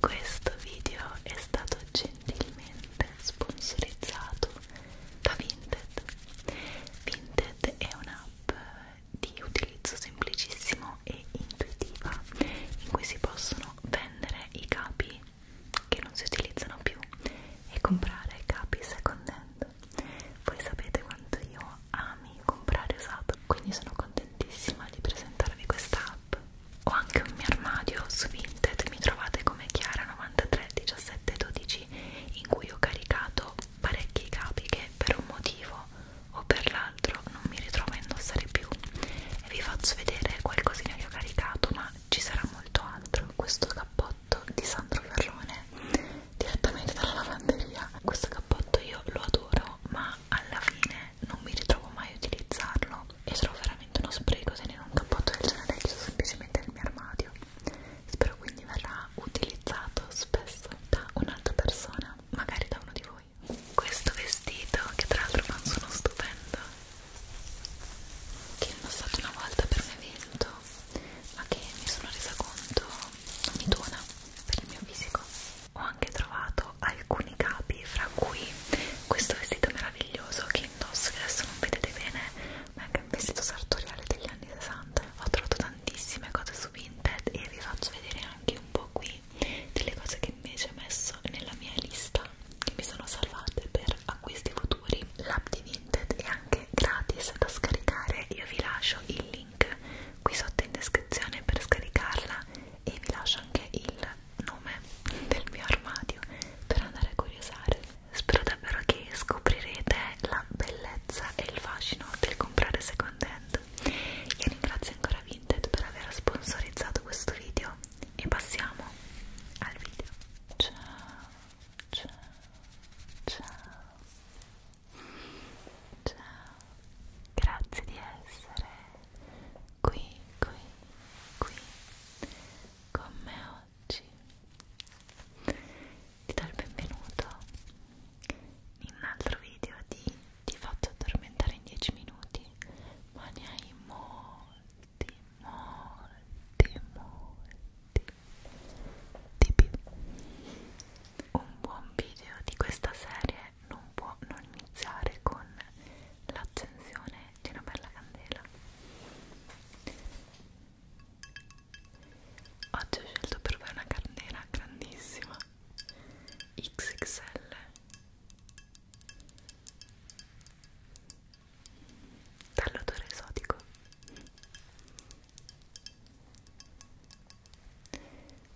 Questo video è stato gentilmente sponsorizzato da Vinted Vinted è un'app di utilizzo semplicissimo e intuitiva in cui si possono vendere i capi che non si utilizzano più e comprare capi second hand voi sapete quanto io ami comprare usato quindi sono contentissima di presentarvi questa app ho anche un mio armadio su Vinted mi trovate come Chiara99 93 17 12 in cui ho caricato parecchi capi che per un motivo o per l'altro non mi ritrovo a indossare più e vi faccio vedere qualcosina che ho caricato ma ci sarà molto altro questo cappotto di Sandro Ferrone direttamente dalla lavanderia questo cappotto io lo adoro ma alla fine non mi ritrovo mai a utilizzarlo e trovo veramente veramente uno spreco tenere un cappotto del genere chiuso semplicemente nel mio armadio spero quindi verrà utilizzato spesso da un'altra persona magari da uno di voi questo vestito che tra l'altro non sono stupendo che ho indossato una volta per un evento ma che mi sono resa conto non mi dona per il mio fisico ho anche trovato alcuni capi fra cui questo vestito meraviglioso meraviglioso che indosso che adesso non vedete bene ma è anche un vestito sartoriale degli anni 60 ho trovato tantissime cose su Vinted e vi faccio vedere anche un po' qui delle cose che invece ho messo nella mia lista che mi sono salvate per acquisti futuri l'app di Vinted è anche gratis da scaricare io vi lascio il link qui sotto in descrizione per scaricarla e vi lascio anche il nome del mio armadio per andare a curiosare Spero davvero che scoprirete la bellezza e il fascino del comprare second hand. Io ringrazio ancora Vinted per aver sponsorizzato questo video e passiamo al video. Ciao, ciao, ciao, ciao, grazie di essere qui, qui, qui con me oggi ti do il benvenuto in un altro video di Ti faccio addormentare in 10 minuti ma ne hai molti, molti, molti di più un buon video di questa serie non può non iniziare con l'accensione di una bella candela oggi ho scelto per voi una candela grandissima XXL dall'odore esotico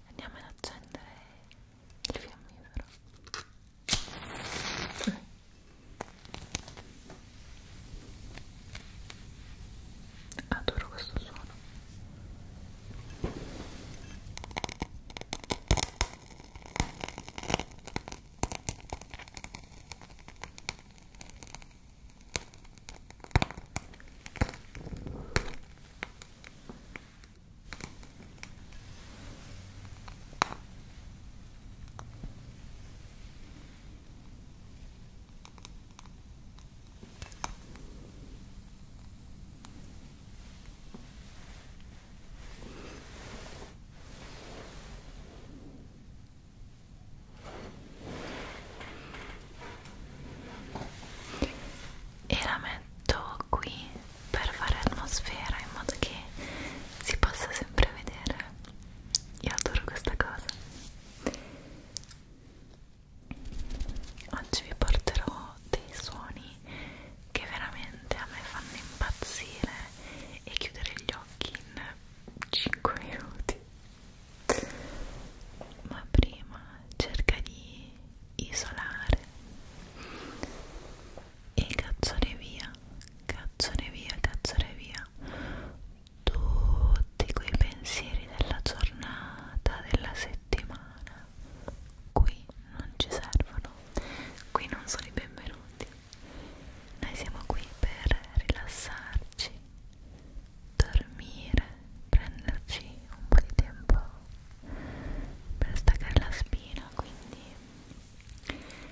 andiamo ad accendere il fiammifero Adoro questo suono e la metto qui per fare atmosfera in modo che si possa sempre vedere io adoro questa cosa oggi vi porterò dei suoni che veramente a me fanno impazzire e chiudere gli occhi in 5 minuti ma prima cerca di isolare e cacciare via, cacciare via, cacciare via tutti quei pensieri della giornata, della settimana. Qui non ci servono, qui non sono i benvenuti. Noi siamo qui per rilassarci, dormire, prenderci un po' di tempo per staccare la spina, quindi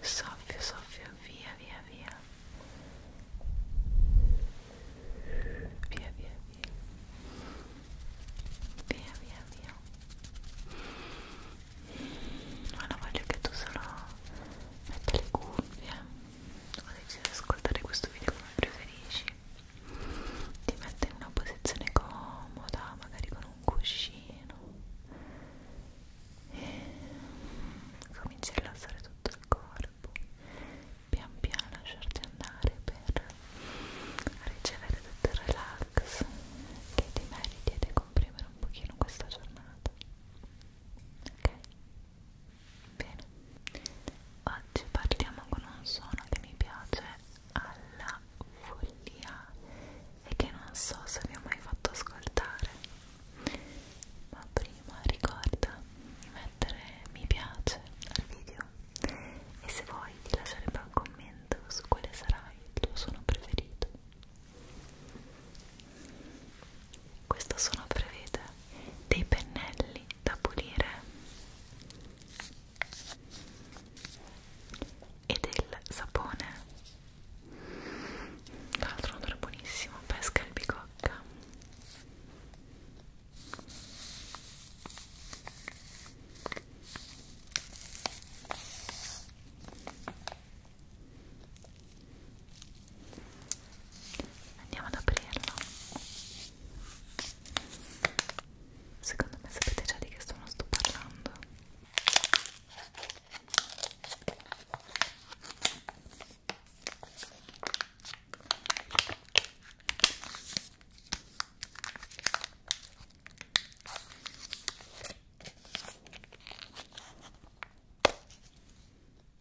soffio soffio via via via via via via via via via voglio solo ho deciso di ascoltare questo video come preferisci ti metto in una posizione comoda magari con un cuscino e cominci a rilassare tutto il corpo pian piano lasciarti andare per ricevere tutto il relax che ti meriti ed comprimere un pochino questa giornata ok? Bene, oggi partiamo con un suono che mi piace alla follia e che non so se vi ho mai fatto ascoltare. Ma prima ricorda di mettere mi piace al video e se vuoi di lasciare poi un commento su quale sarà il tuo suono preferito questo sono prevede dei pennelli da pulire e del sapone tra l'altro un odore buonissimo pesca e bicocca Andiamo ad aprirlo. Secondo me sapete già di che sono sto parlando.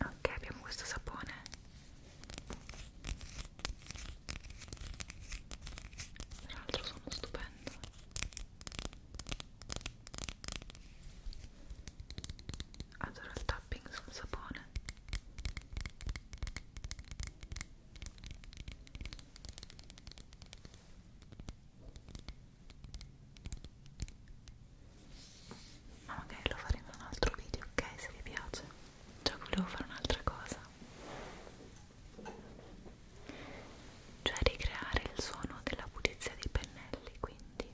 Ok, abbiamo questo sapone. Tra l'altro sono stupendo adoro il tapping sul sapone ma magari lo faremo in un altro video ok se vi piace già volevo fare un'altra cosa cioè ricreare il suono della pulizia dei pennelli quindi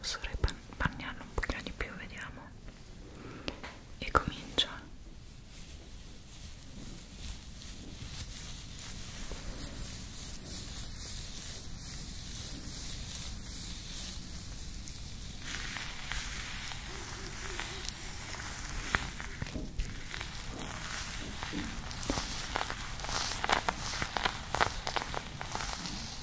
vorrei bagniarlo un pochino di più, vediamo e comincia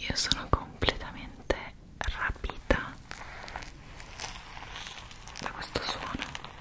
Io sono completamente rapita da questo suono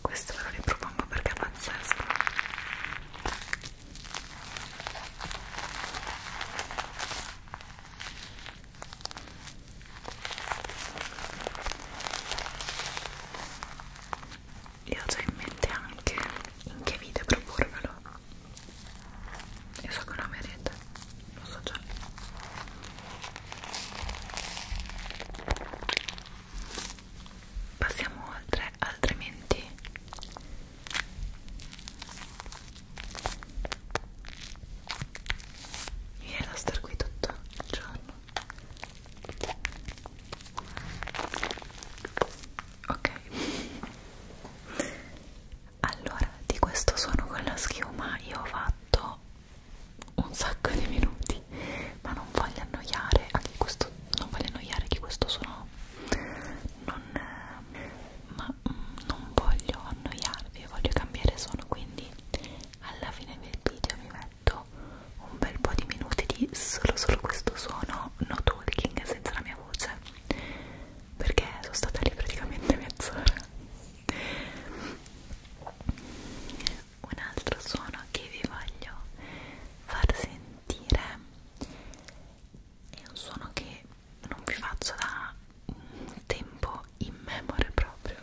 Questo ve lo ripropongo perché è pazzesco. Io ho già in mente anche in che video proporvelo. Io so che lo amerete, lo so già. Passiamo oltre, altrimenti mi viene da star qui tutto il giorno ok allora di questo suono con la schiuma io ho fatto un sacco di minuti ma non voglio annoiare anche questo non voglio annoiare che questo suono non ma mm, non voglio annoiarvi voglio cambiare suono quindi alla fine del video mi metto letto un bel po' di minuti di solo solo questo suono no talking senza la mia voce perché sono stata lì praticamente mezz'ora un altro suono che vi voglio far sentire è un suono che non vi faccio da un tempo immemore proprio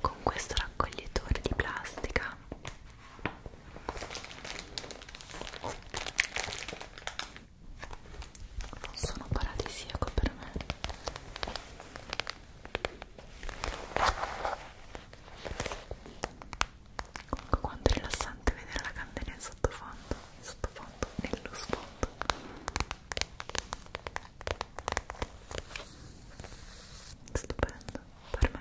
con questo raccoglitore di plastica non sono paradisiaco per me comunque quanto è rilassante vedere la candela in sottofondo in sottofondo nello sfondo stupendo per me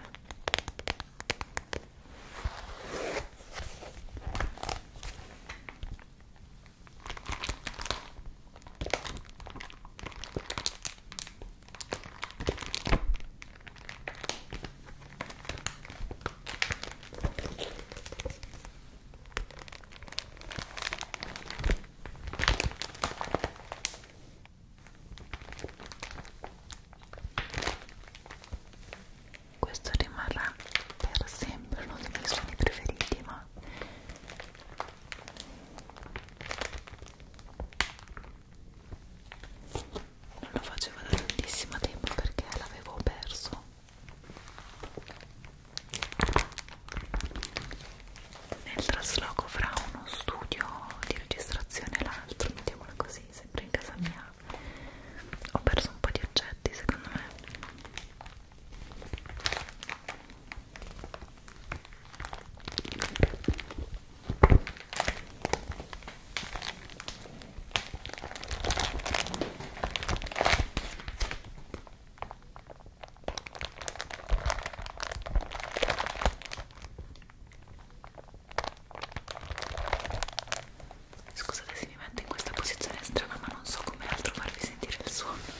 questo rimarrà per sempre uno dei miei suoni preferiti, ma non lo facevo da tantissimo tempo perché l'avevo perso nel trasloco fra uno studio di registrazione e l'altro mettiamola così sempre in casa mia ho perso un po' di oggetti secondo me Scusate se mi metto in questa posizione strana, ma non so come altro farvi sentire il suono.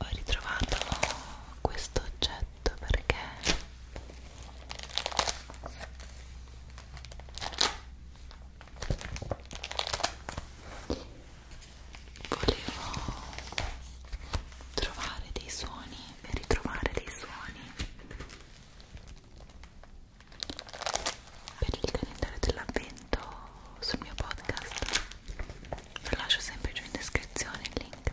ho ritrovato questo oggetto perché volevo trovare dei suoni e ritrovare dei suoni per il calendario dell'avvento sul mio podcast vi lascio sempre giù in descrizione il link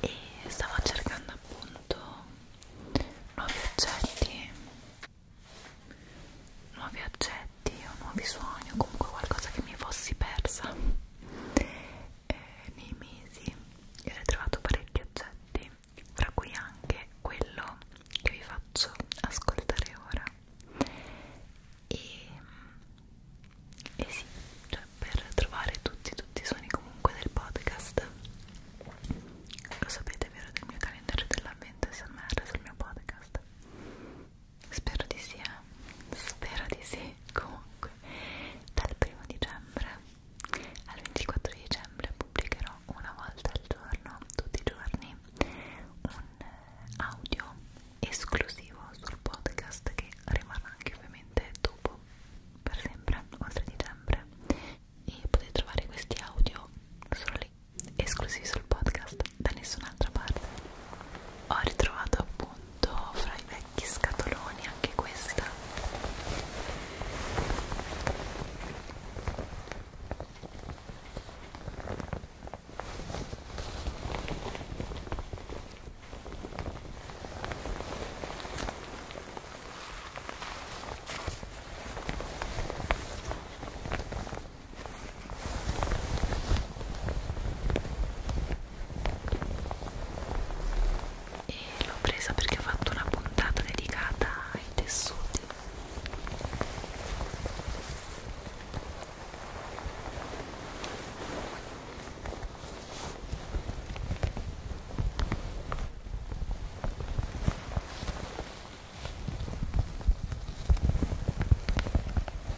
e stavo cercando appunto nuovi oggetti nuovi oggetti oggetti o nuovi suoni o comunque qualcosa che mi fossi persa eh, nei mesi e ho ritrovato parecchi oggetti fra cui anche quello che vi faccio ascoltare ora e, e sì, cioè per trovare tutti, tutti i suoni comunque del podcast lo sapete vero del mio calendario dell'avvento SMR sul mio podcast Spero di sì, eh? spero di sì. Comunque, dal primo dicembre al 24 dicembre pubblicherò una volta al giorno, tutti i giorni, un eh, audio esclusivo sul podcast che rimarrà anche ovviamente dopo, per sempre, oltre dicembre. E potete trovare questi audio solo lì, esclusivi sul podcast, da nessun'altra parte ho ritrovato appunto fra i vecchi scatoloni anche questa e l'ho presa perché ho fatto una puntata dedicata ai tessuti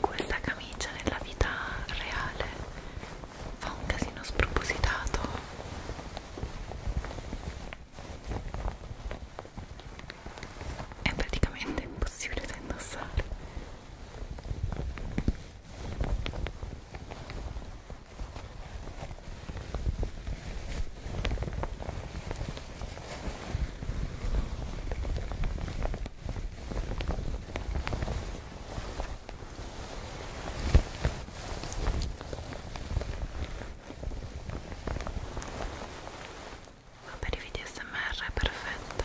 Questa camicia nella vita reale fa un casino spropositato. È praticamente impossibile da indossare. Ma per i video smr è perfetta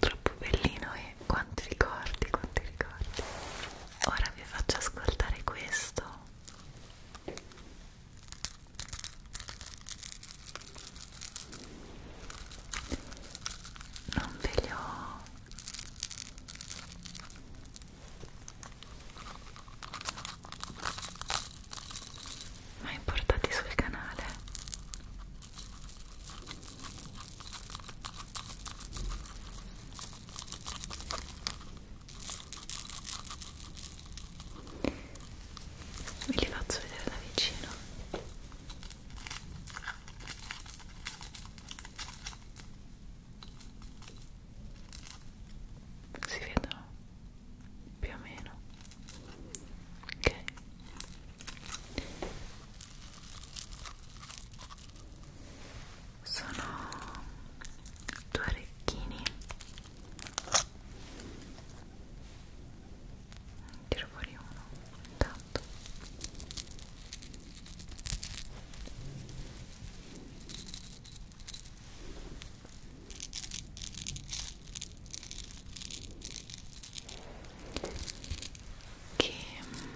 Troppo bellino e eh? quanti ricordi, quanti ricordi. Ora vi faccio ascoltare questo. Non ve li ho mai portati sul canale ve li faccio vedere da vicino si vedono più o meno ok sono due orecchini tiro fuori uno intanto che mm,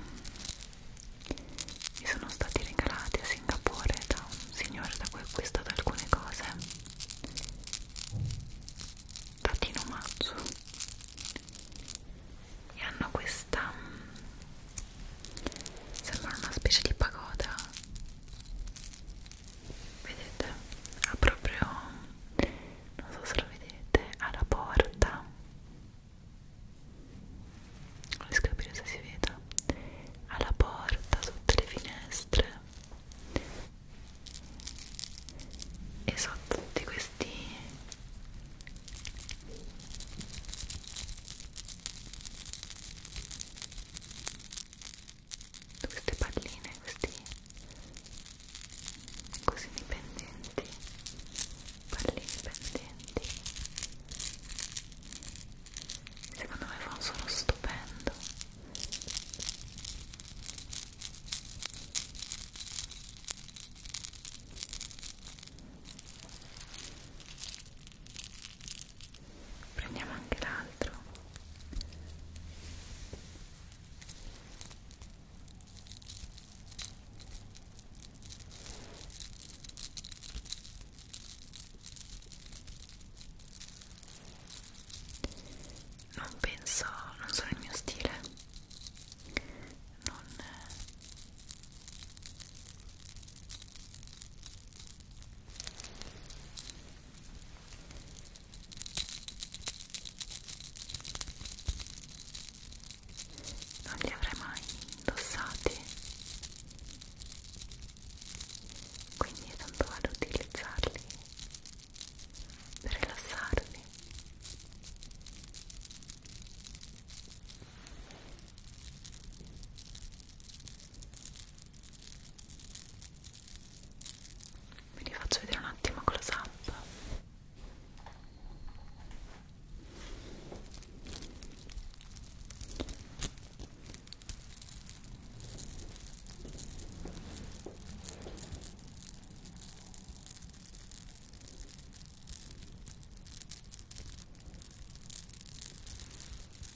mi sono stati regalati a Singapore da un signore da cui ho acquistato alcune cose dati in omaggio e hanno questa mm, sembra una specie di pagoda vedete ha proprio non so se lo vedete alla porta non riesco a capire se si veda alla porta sotto le finestre e sotto tutti questi queste palline questi così dipendenti palline pendenti secondo me fa un suono stupendo prendiamo anche l'altro non penso, non sono il mio stile non eh non li avrei mai indossati quindi tanto vado ad utilizzarli per rilassarmi ve li faccio vedere un attimo close up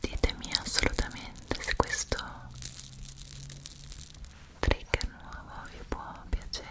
ditemi assolutamente se questo trigger nuovo vi può piacere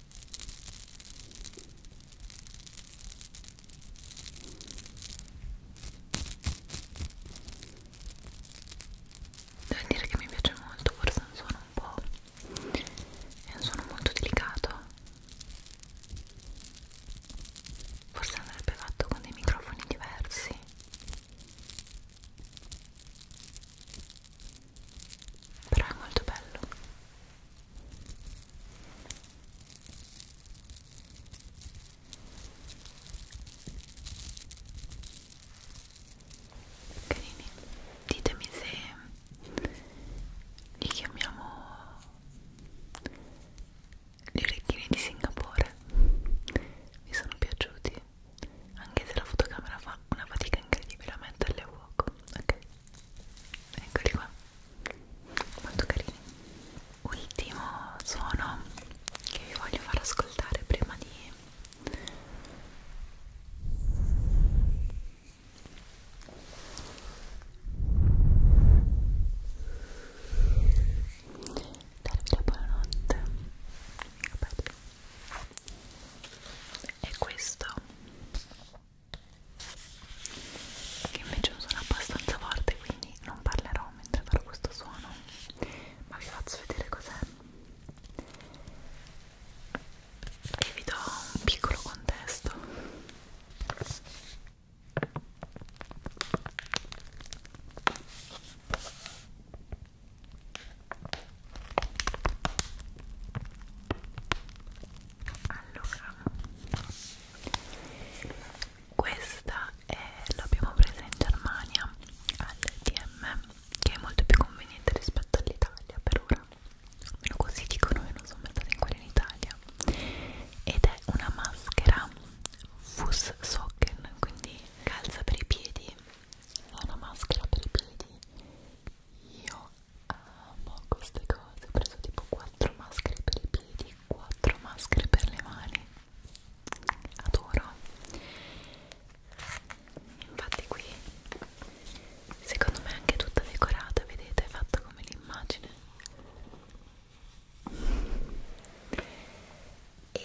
Devo dire che mi piace molto, forse è un suono un po'... è un suono molto delicato. Forse andrebbe fatto con dei microfoni diversi però è molto bello carini ditemi se li chiamiamo gli orecchini di Singapore mi sono piaciuti anche se la fotocamera fa una fatica incredibile a metterle a fuoco ok eccoli qua molto carini ultimo suono che vi voglio far ascoltare prima di darvi la buonanotte e questo che invece è un suono abbastanza forte quindi non parlerò mentre farò questo suono ma vi faccio vedere cos'è e vi do un piccolo contesto allora questa l'abbiamo presa in Germania al DM che è molto più conveniente rispetto all'Italia per ora almeno così dicono che non sono andata in quella in Italia ed è una maschera Fusssocken quindi calza per i piedi è una maschera per i piedi io amo queste cose, ho preso tipo 4 maschere per i piedi, 4 maschere per le mani, adoro. Infatti qui, secondo me è anche tutta decorata, vedete, è fatta come l'immagine. E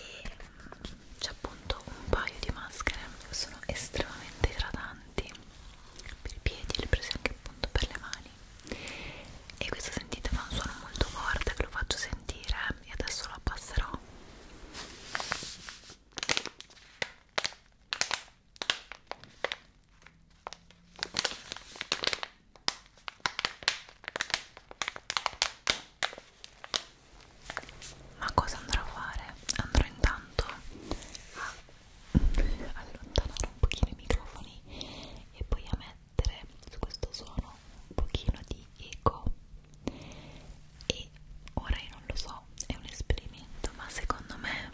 c'è appunto un paio di maschere, sono estremamente idratanti per i piedi, le prese anche appunto per le mani e questo sentite fa un suono molto forte ve lo faccio sentire eh, e adesso lo abbasserò ma cosa andrò a fare? Andrò intanto a allontanare un pochino i microfoni e poi a mettere su questo suono un pochino di eco e ora io non lo so, è un esperimento ma secondo me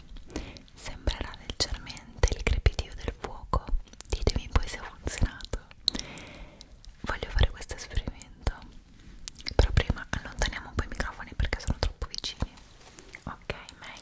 sembrerà leggermente il crepitio del fuoco ditemi poi se ha funzionato voglio fare questo esperimento però prima allontaniamo un po' i microfoni perché sono troppo vicini ok, meglio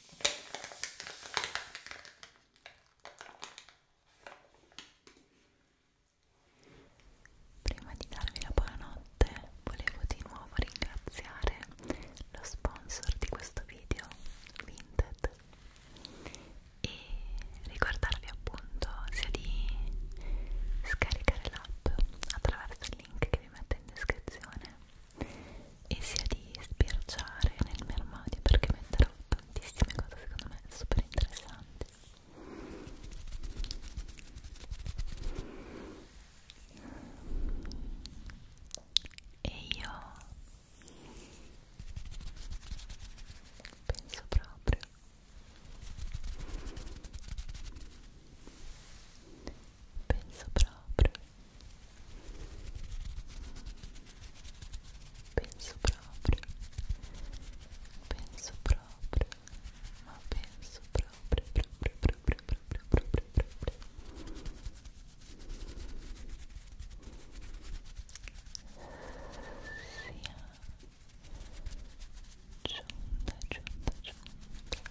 Prima di darvi la buonanotte volevo di nuovo ringraziare lo sponsor di questo video, Vinted, e ricordarvi appunto sia di scaricare l'app attraverso il link che vi metto in descrizione e sia di sbirciare nel mio armadio perché metterò tantissime cose secondo me super interessanti e io penso proprio penso proprio Penso proprio, penso proprio, ma penso proprio, proprio, proprio, proprio, proprio, proprio. Sia giunta, giunta, giunta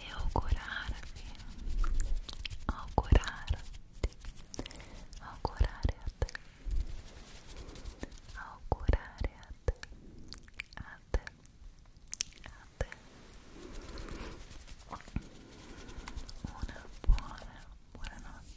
e augurarvi, augurarti, augurare a te, augurare a te, a te, a te, una buona, buonanotte, buona, buonanotte.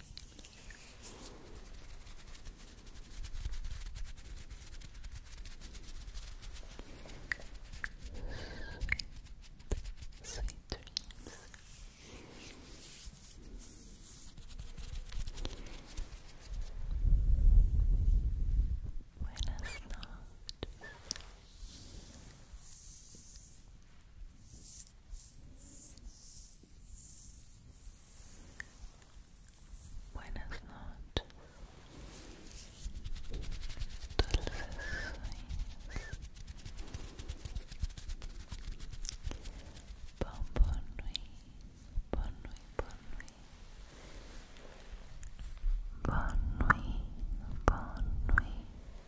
Sweet, sweet dreams. Buenas noches. Buenas noches. Dulces sueños. Bon, bon nuit. Bon nuit,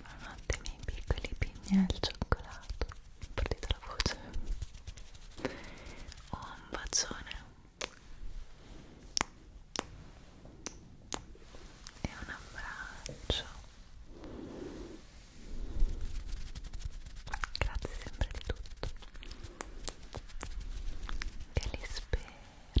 Buonanotte miei piccoli pigni al cioccolato. Partita la voce. Oh, un bacione. E un abbraccio. Grazie sempre di tutto. Che li spero.